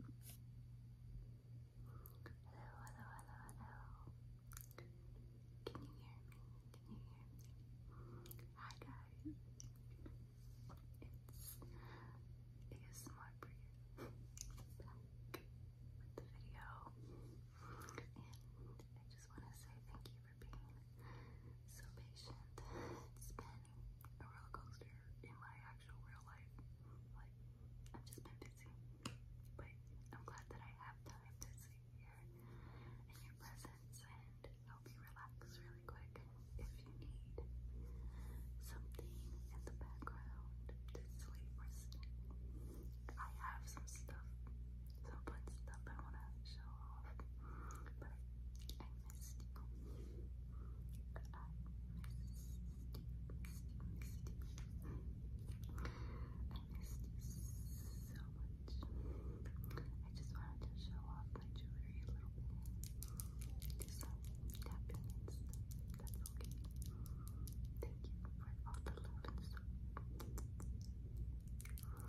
hello, hello, hello. Can you hear me? Can you hear me? Hi guys. It's ASMR for Back with the video. And I just want to say thank you for being so patient. a roller coaster in my actual real life. Like, I've just been busy. But I'm glad that I have time to sit here in your presence and help you relax really quick if you need something in the background to sleep or sleep. I have some stuff, some fun stuff I want to show off, but I missed you so much. I just wanted to show off my jewelry a little bit. Do some tapping and That's okay. Thank you for all the love and stuff. Okay, well, first off,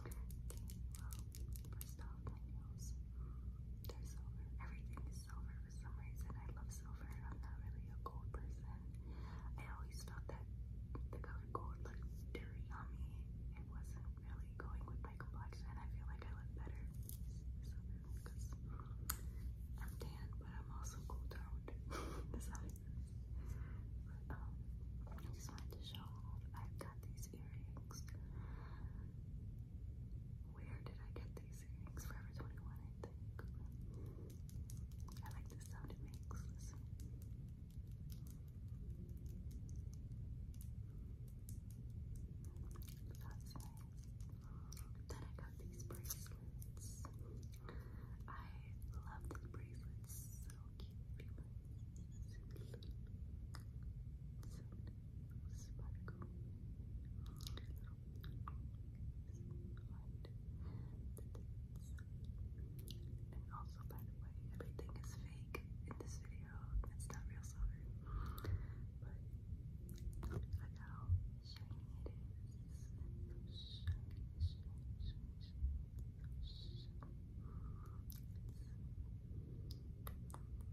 my nails. They're silver. Everything silver for some reason. I love silver. I'm not really a gold person. I always felt that the color gold looked dirty on me. It wasn't really going with my complexion. I feel like I look better I'm tan, but I'm also gold toned. Besides, um, I just wanted to show I've got these these earrings. Where did I get these earrings? Forever 21, I think. I like the sound it makes. Then I got these bracelets. I love these bracelets. So cute. And also, by the way, everything is fake in this video. It's not real silver. But look how shiny it is.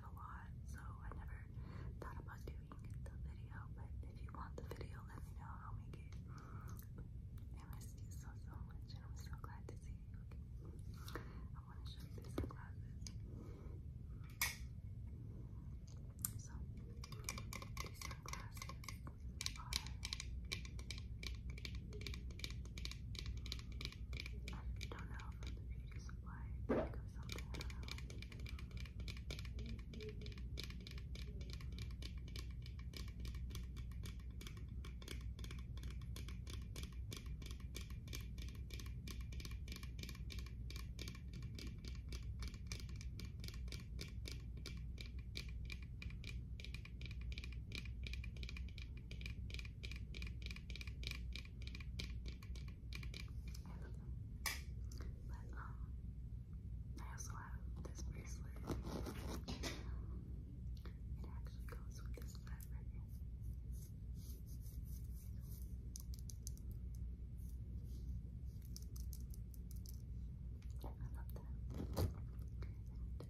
out a lot, so I never thought about doing the video. But if you want the video, let me know. I'll make it. I missed you so so much, and I'm so glad to see you. Okay. I want to show you these sunglasses. So these are. they don't know if it's beauty supply pick something, I don't know. I love them. But um I also have this bracelet. It actually goes with this flat right here. I love them.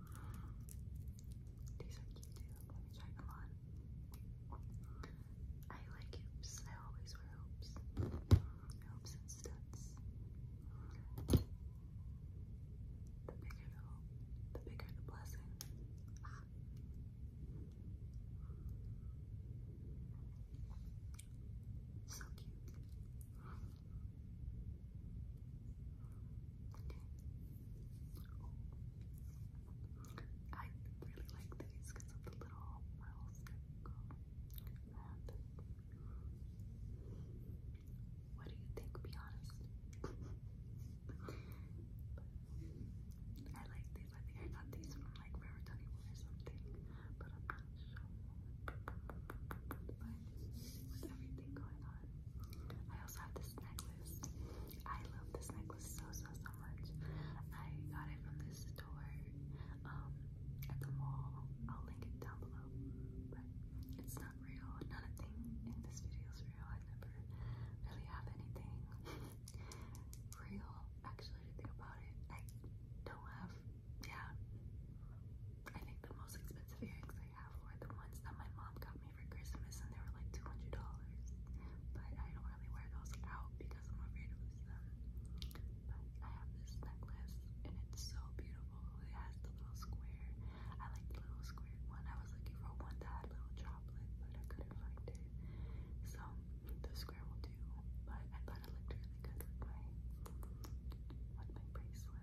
These are cute too. Let me try them on. I like hoops. I always wear hoops. Hoops and studs. The bigger the hoop, the bigger the blessing. Ah. So cute. Oh. I really like these because of the little pearls What do you think? Be honest. I like these. I think I got these from like River Tony or something, but I'm not sure. with everything going on I also have this necklace. I love this necklace so, so, so much. I got it from this store um, at the mall. I'll link it down below. But it's not real. Not a thing in this video is real. I never really have anything real, actually, think about it. I don't have yeah, I think the most expensive earrings I have were the ones that my mom got me for Christmas, and they were like two hundred dollars. But I don't really wear those out because I'm afraid of them. But I have this necklace, and it's so beautiful. It has the little square. I like the little square one. I was looking for one that had little chocolate, but I couldn't find it. So the square will do. But I thought it looked really good with my with my bracelet.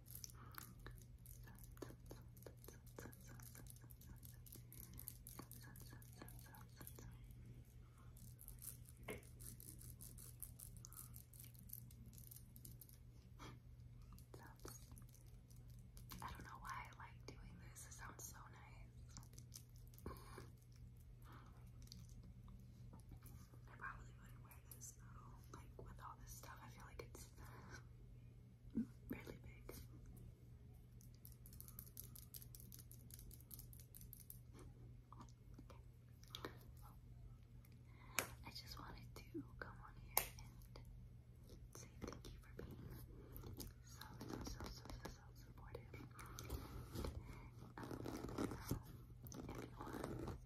I don't know why I like doing this. It sounds so nice. I probably wouldn't wear like with all this stuff, I feel like it's really big. Okay. I just wanted to come on here and say thank you for being so, so, so, so, so, supportive. Um,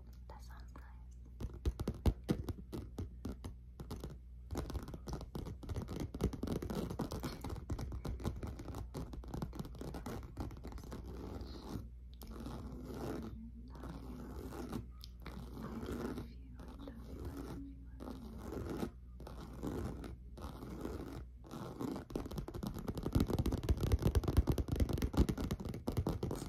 That sounds nice. Thank you